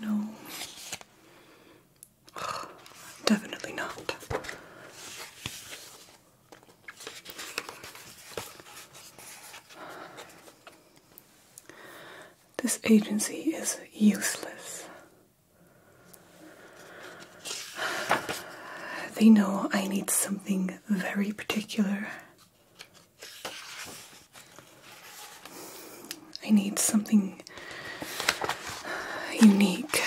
No. Definitely not. This agency is useless. They know I need something very particular. I need something unique.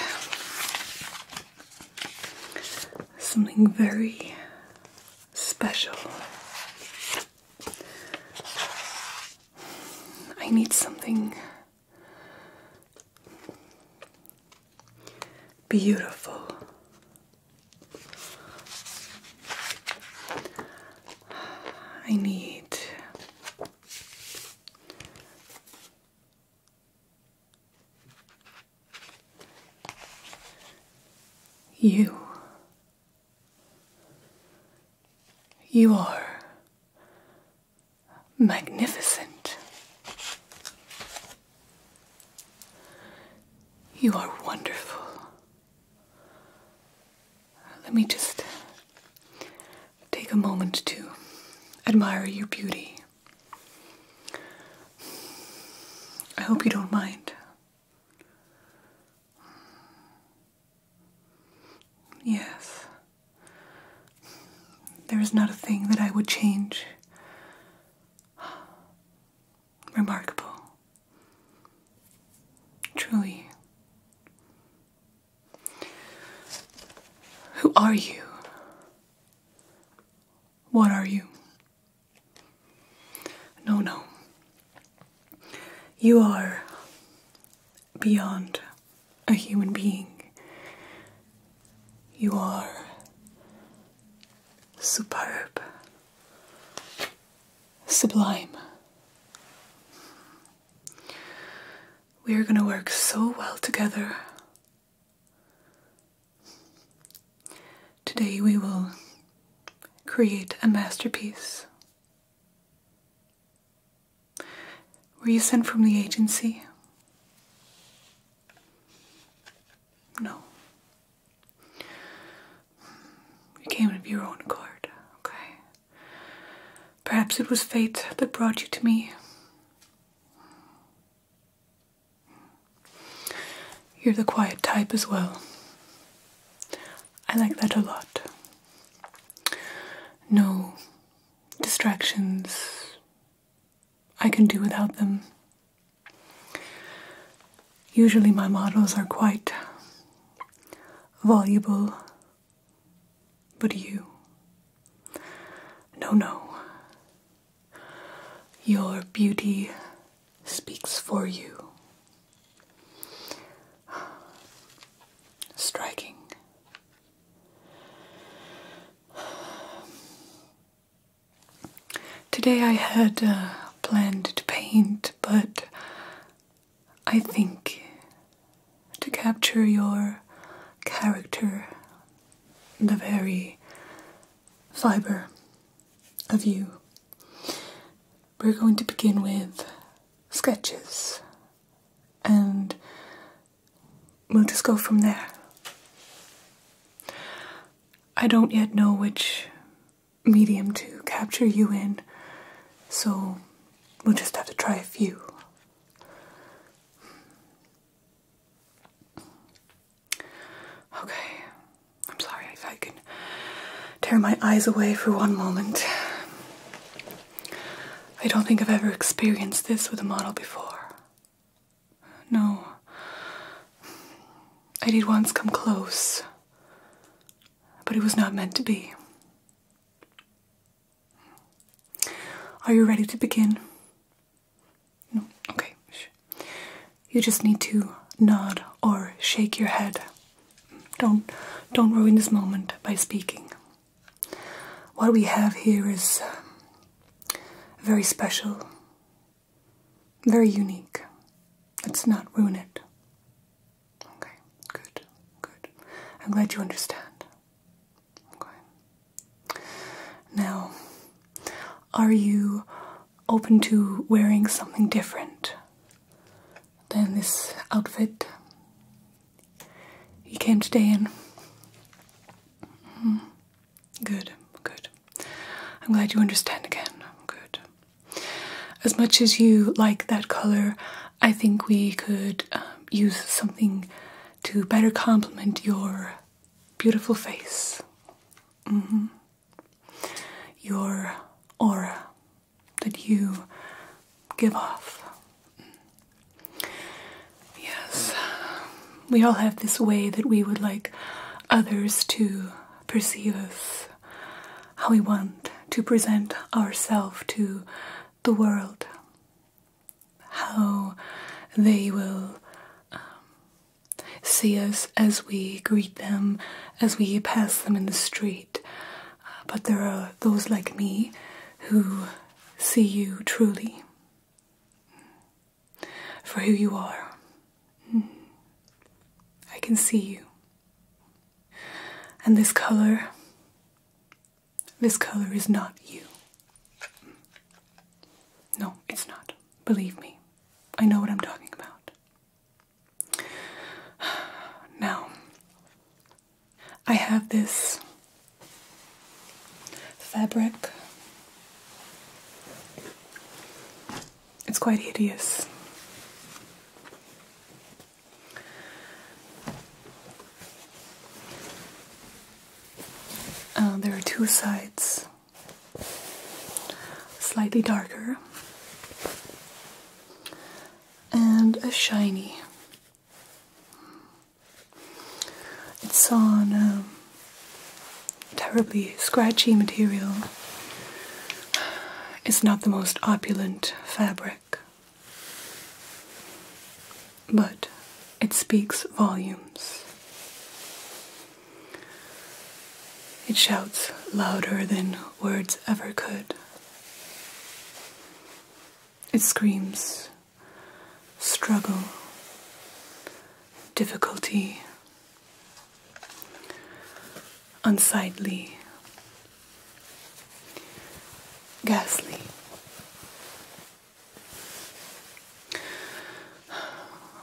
Something very special. I need something Beautiful. I need you. You are magnificent. You are wonderful. Let me just take a moment to admire your beauty. I hope you don't mind. Yes, there is not a thing that I would change. Remarkable. Truly. Who are you? What are you? No, no. You are beyond a human being. You are superb, sublime. We are going to work so well together. Today we will create a masterpiece. Were you sent from the agency? No. You came of your own accord, okay? Perhaps it was fate that brought you to me. You're the quiet type as well. I like that a lot. No distractions, I can do without them. Usually, my models are quite voluble, but you. No, no. Your beauty speaks for you. Striking. Today I had uh, planned to paint, but I think to capture your character, the very fiber of you, we're going to begin with sketches. And we'll just go from there. I don't yet know which medium to capture you in, so we'll just have to try a few. Okay, I'm sorry if I can tear my eyes away for one moment. I don't think I've ever experienced this with a model before. No. I did once come close, but it was not meant to be. Are you ready to begin? No? Okay. You just need to nod or shake your head. Don't, don't ruin this moment by speaking. What we have here is um, very special, very unique. Let's not ruin it. Okay, good, good. I'm glad you understand. Now, are you open to wearing something different than this outfit you can't stay in? -hmm. Good, good. I'm glad you understand again. Good. As much as you like that color, I think we could um, use something to better complement your beautiful face. Mm-hmm. Your aura that you give off. Yes, we all have this way that we would like others to perceive us, how we want to present ourselves to the world, how they will um, see us as we greet them, as we pass them in the street. but there are those like me who see you truly for who you are. Hmm. I can see you. And this color, this color is not you. No, it's not. Believe me, I know what I'm talking about. Now, I have this fabric it's quite hideous. Uh, there are two sides, slightly darker, and a shiny. It's on. Um, terribly scratchy material is not the most opulent fabric, but it speaks volumes. It shouts louder than words ever could. It screams struggle, difficulty, unsightly, ghastly.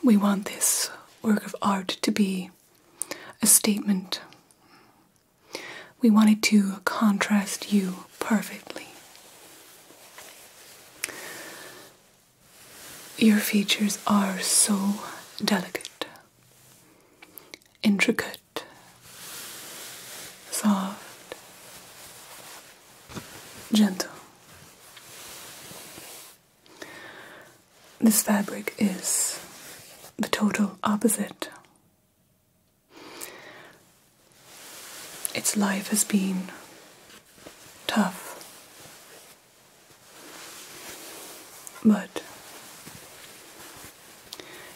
We want this work of art to be a statement. We want it to contrast you perfectly. Your features are so delicate, intricate, soft, gentle. This fabric is the total opposite. Its life has been tough, but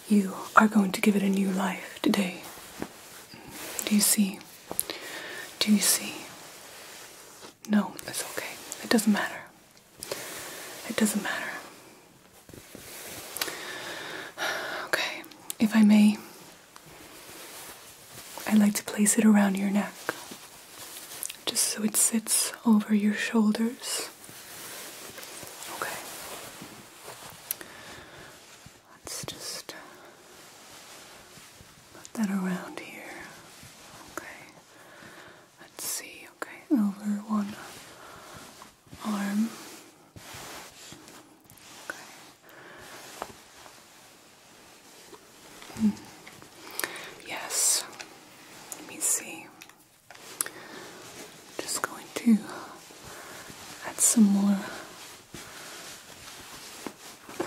you are going to give it a new life today. Do you see? Do you see? No, it's okay. It doesn't matter. It doesn't matter. Okay, if I may, I like to place it around your neck just so it sits over your shoulders. Okay. Let's just put that around here. Okay. Let's see. Okay. Over one arm. Okay. Yes. Let me see. Just going to add some more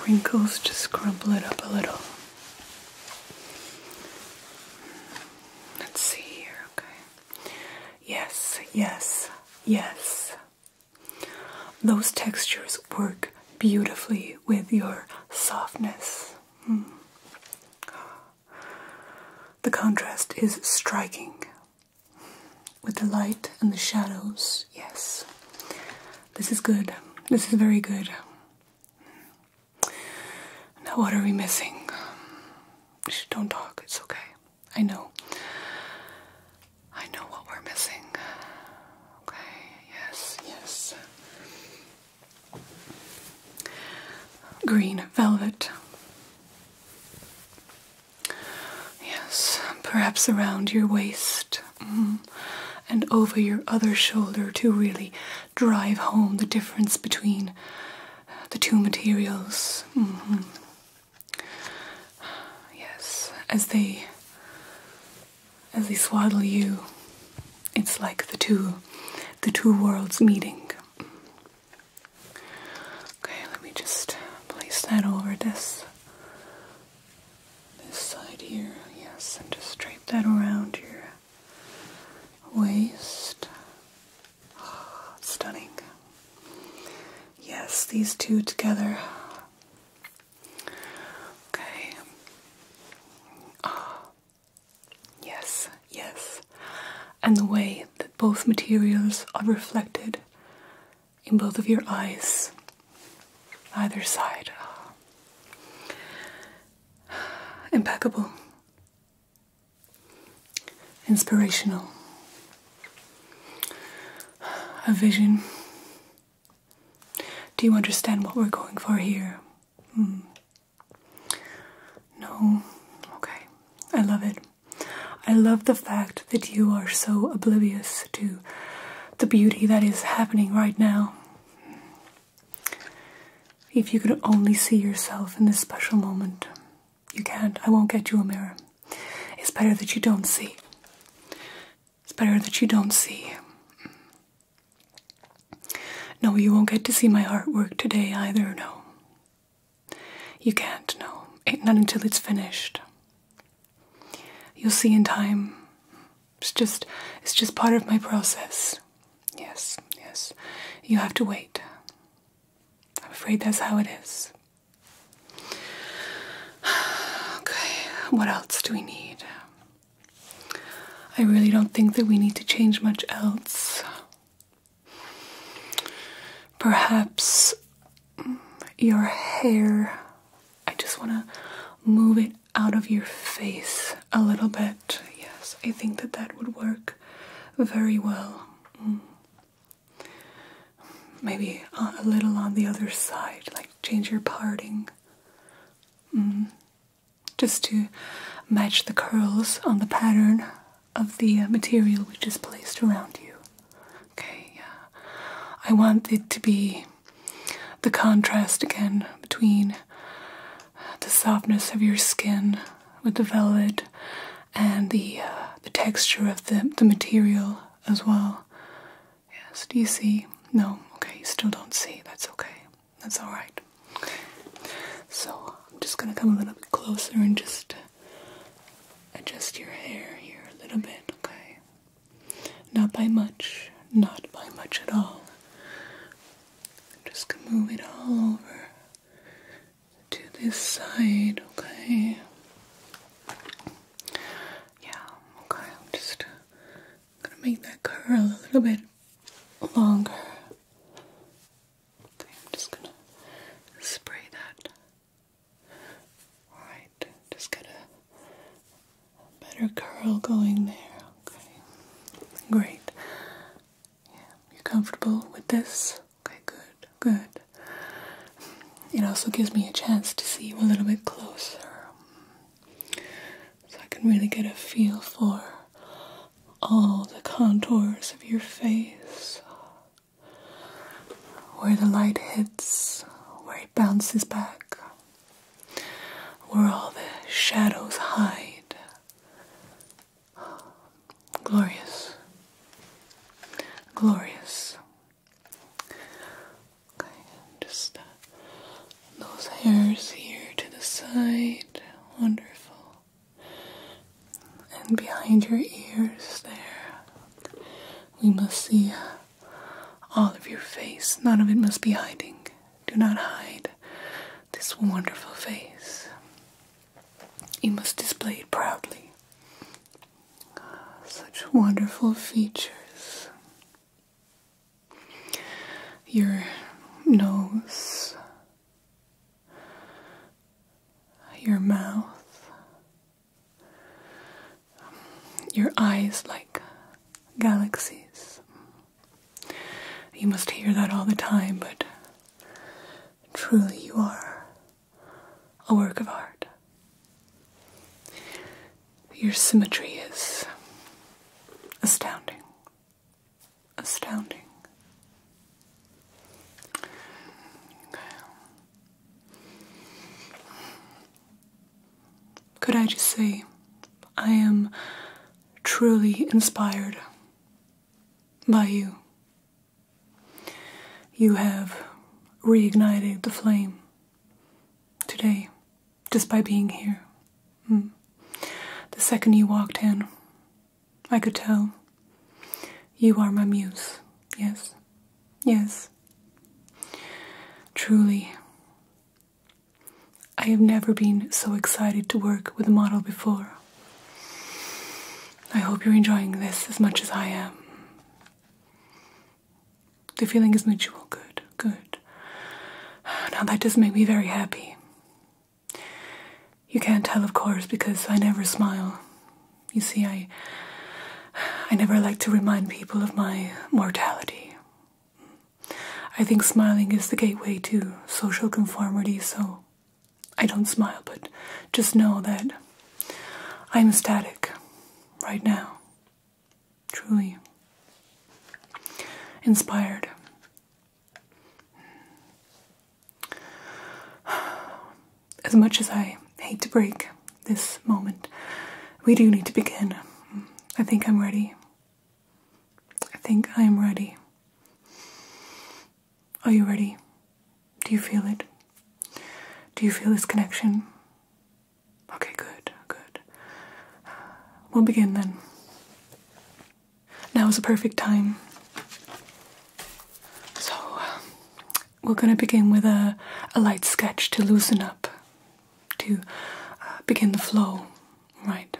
wrinkles, just crumple it up a little. Let's see here, okay. Yes, yes, yes. Those textures work beautifully with your softness. Hmm. The contrast is striking with the light and the shadows. Yes, this is good. This is very good. Now, what are we missing? don't talk, it's okay. I know. I know what we're missing. Okay, yes, yes. Green velvet. Yes, perhaps around your waist mm, and over your other shoulder to really drive home the difference between the two materials. Mm-hmm. Yes, as they as they swaddle you. It's like the two the two worlds meeting. Okay, let me just place that over this this side here, yes, and just drape that around your waist. stunning. Yes, these two together Okay. Ah. Yes, yes. And the way that both materials are reflected in both of your eyes, either side. Ah. Impeccable. Inspirational. A vision. Do you understand what we're going for here? Hmm. No? Okay. I love it. I love the fact that you are so oblivious to the beauty that is happening right now. If you could only see yourself in this special moment, you can't. I won't get you a mirror. It's better that you don't see. It's better that you don't see. No, you won't get to see my artwork today either, no. You can't, no. Not until it's finished. You'll see in time. It's just it's just part of my process. Yes, yes. You have to wait. I'm afraid that's how it is. Okay, what else do we need? I really don't think that we need to change much else. Perhaps your hair. I just want to move it out of your face a little bit. Yes, I think that that would work very well. Mm. Maybe a little on the other side, like change your parting. Mm just to match the curls on the pattern of the uh, material we just placed around you. Okay, yeah. I want it to be the contrast again between the softness of your skin with the velvet and the uh, the texture of the the material as well. Yes, do you see? No, okay, you still don't see. That's okay. That's alright. So, I'm just gonna come a little bit closer and just adjust your hair here a little bit, okay? Not by much, not by much at all. Just gonna move it all over to this side, okay? Yeah, okay, I'm just gonna make that curl a little bit longer. Okay, I'm just gonna spray that. Alright, just get a, better curl going there. Okay, great. Yeah, you're comfortable with this? Okay, good, good. It also gives me a chance to see you a little bit closer so I can really get a feel for all the contours of your face, where the light hits, where it bounces back, where all the shadows hide. Glorious. Glorious. Okay, just uh, those hairs here to the side. Wonderful. And behind your ears there. We must see all of your face. None of it must be hiding. Do not hide this wonderful face. You must display it proudly. Such wonderful features your nose, your mouth, your eyes like galaxies. You must hear that all the time, but truly you are a work of art. Your symmetry is astounding astounding. Could I just say, I am truly inspired by you. You have reignited the flame today just by being here. Hmm. The second you walked in, I could tell. You are my muse, yes, yes. Truly, I have never been so excited to work with a model before. I hope you're enjoying this as much as I am. The feeling is mutual. Good, good. Now that does make me very happy. You can't tell, of course, because I never smile. You see, I. I never like to remind people of my mortality. I think smiling is the gateway to social conformity, so I don't smile, but just know that I'm static right now. Truly. Inspired As much as I hate to break this moment, we do need to begin. I think I'm ready. I think I am ready. Are you ready? Do you feel it? Do you feel this connection? Okay, good, good. We'll begin then. Now is a perfect time. So, uh, we're gonna begin with a, a light sketch to loosen up, to uh, begin the flow, right?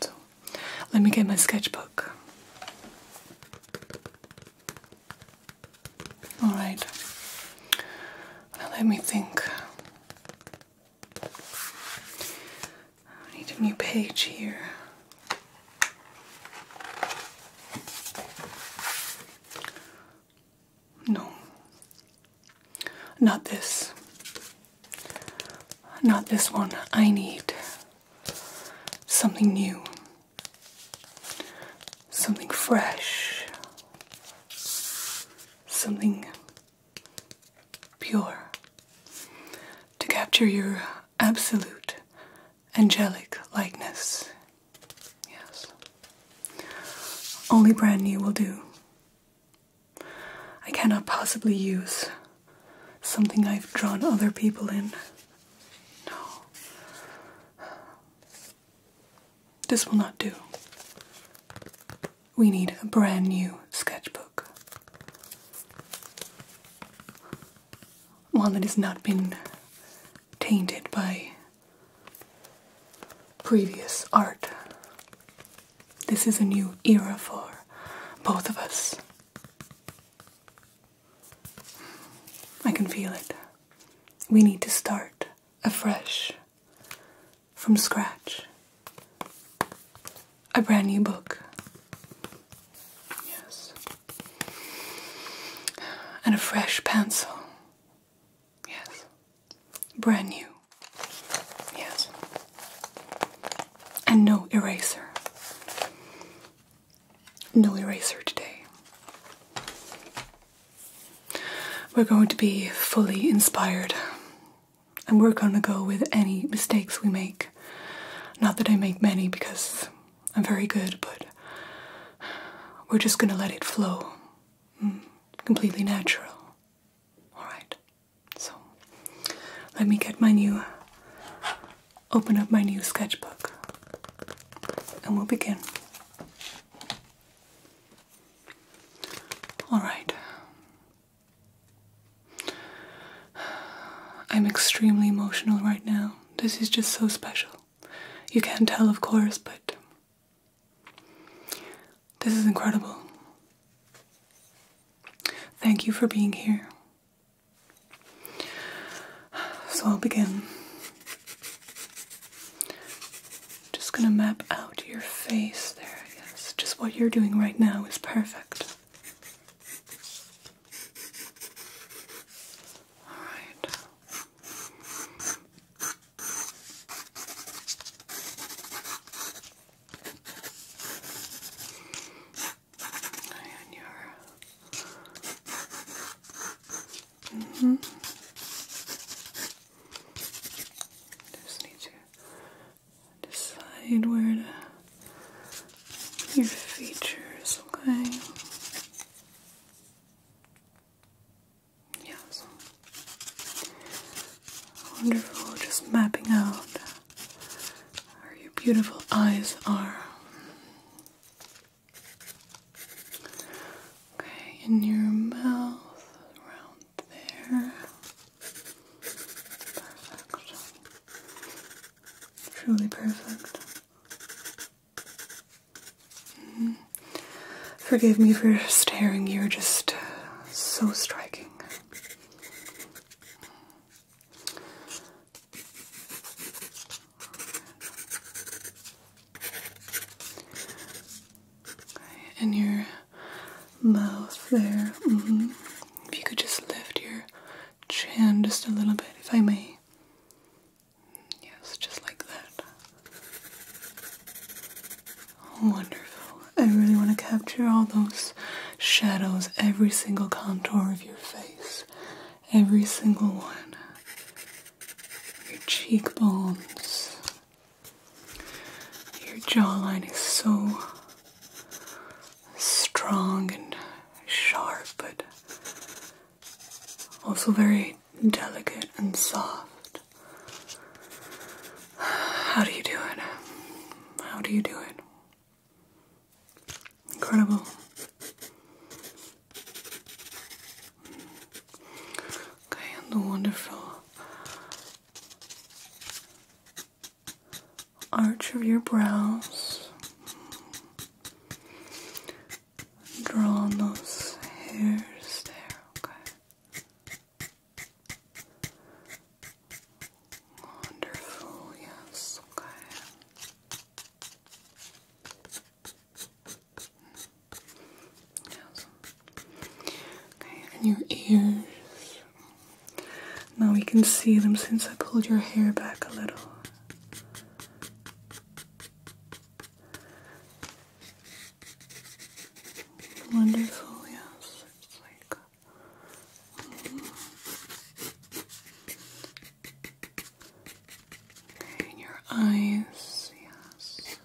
So, let me get my sketchbook. Alright, let me think. I need a new page here. No, not this. Not this one. I need something new, something fresh, something pure, to capture your absolute angelic likeness. Yes. Only brand new will do. I cannot possibly use something I've drawn other people in. No. This will not do. We need a brand new sketchbook. One that has not been tainted by previous art. This is a new era for both of us. I can feel it. We need to start afresh from scratch a brand new book. Yes. And a fresh pencil. Yes. Brand new. Yes. And no eraser. No eraser today. We're going to be fully inspired and we're gonna go with any mistakes we make. Not that I make many because I'm very good, but we're just gonna let it flow. Mm, completely natural. Alright, so let me get my new, open up my new sketchbook, and we'll begin. Alright, I'm extremely emotional right now. This is just so special. You can't tell, of course, but this is incredible. Thank you for being here. So I'll begin. Just gonna map out your face there, I guess. Just what you're doing right now is perfect. All right. And your mm -hmm. just need to decide where your features, okay? Yes. Wonderful, just mapping out where your beautiful eyes are. Okay, in your mouth, around there. Perfect. Truly perfect. Mm-hmm. Forgive me for staring, you're just uh, so striking. and your mouth there. Mm-hmm. If you could just lift your chin just a little bit, if I may. Yes, just like that. Oh, wonderful. I really want to capture all those shadows, every single contour of your face, every single one. Your cheekbones. Your jawline is so strong and sharp, but also very delicate and soft. How do you do it? How do you do it? Incredible. Okay, and the wonderful arch of your brows. Draw on those hairs there, okay? Wonderful, yes, okay. Yes. Okay, and your ears. Now we can see them since I pulled your hair back a little. Wonderful, yes. Uh, in your eyes, yes.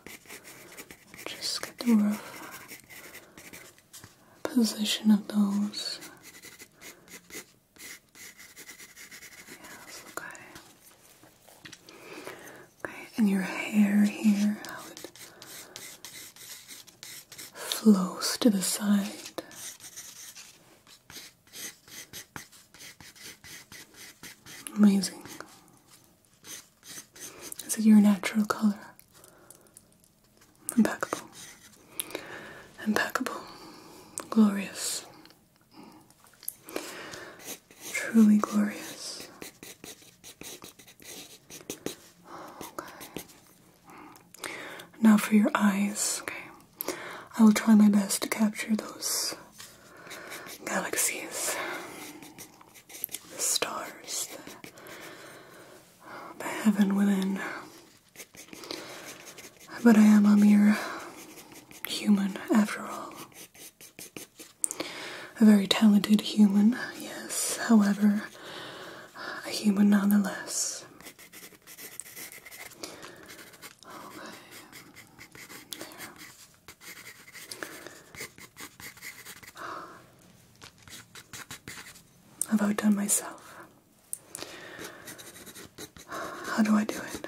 Just get the rough position of those. Yes, okay. Okay, and your hair here, flows to the side. Amazing. Is it your natural color? impeccable, impeccable, glorious, truly glorious. Now for your eyes, okay. I will try my best to capture those galaxies, the stars, the heaven within but I am a mere human after all. A very talented human, yes, however, a human nonetheless. I've outdone myself. How do I do it?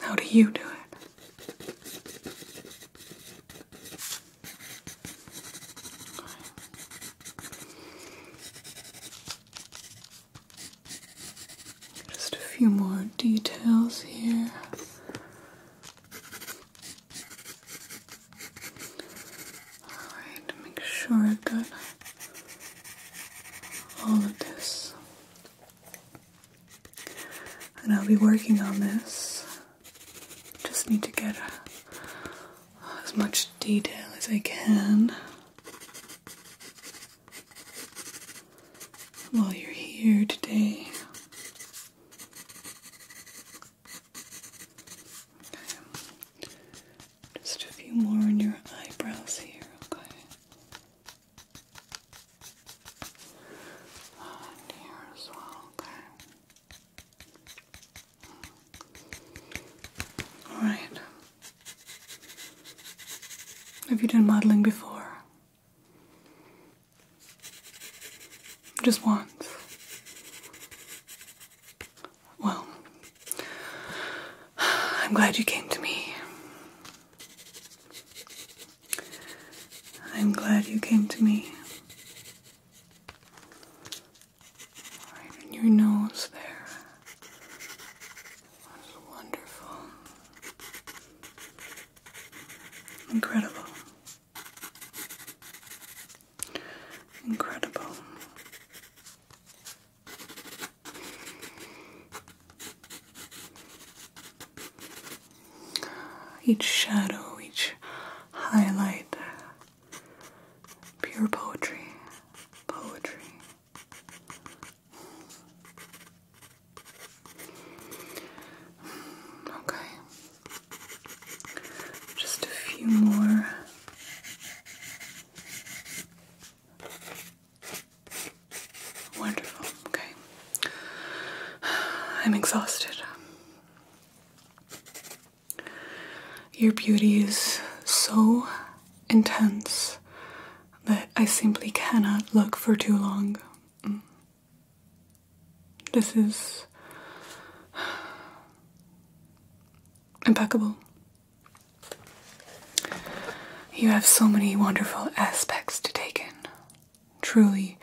How do you do it? Just a few more details here. Alright, make sure I've all of this. And I'll be working on this. Just need to get uh, as much detail as I can while you're here today. Just a few more on your eyebrows here, okay? And here as well, okay? Alright. Have you done modeling before? Just once. Well, I'm glad you came to me. I'm glad you came to me. Right in your nose there. wonderful. Incredible. Incredible. Each shadow, each highlight, pure poetry, poetry. Okay, just a few more. Wonderful. Okay. I'm exhausted. Your beauty is so intense that I simply cannot look for too long. Mm. This is impeccable. You have so many wonderful aspects to take in. Truly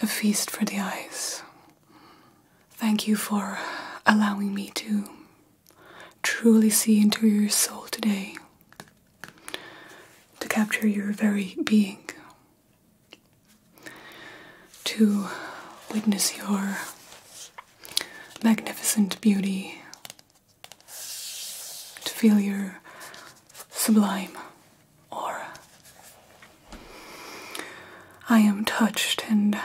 a feast for the eyes. Thank you for allowing me to truly see into your soul today, to capture your very being, to witness your magnificent beauty to feel your sublime aura. I am touched and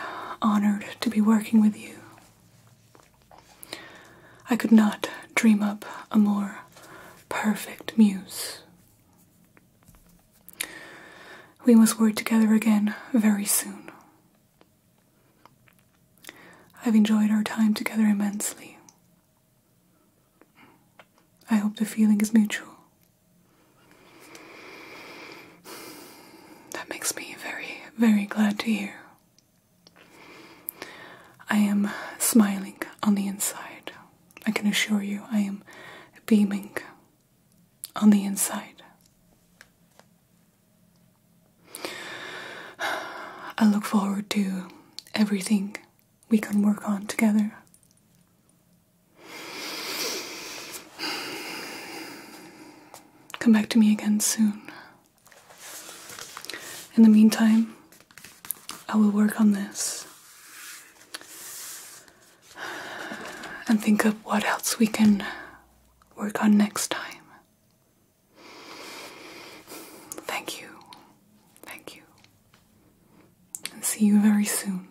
honored to be working with you. I could not dream up a more perfect muse. We must work together again very soon. I've enjoyed our time together immensely. I hope the feeling is mutual. That makes me very, very glad to hear. I am smiling on the inside. I can assure you, I am beaming on the inside. I look forward to everything we can work on together. Come back to me again soon. In the meantime, I will work on this and think of what else we can work on next time. Thank you. Thank you. And see you very soon.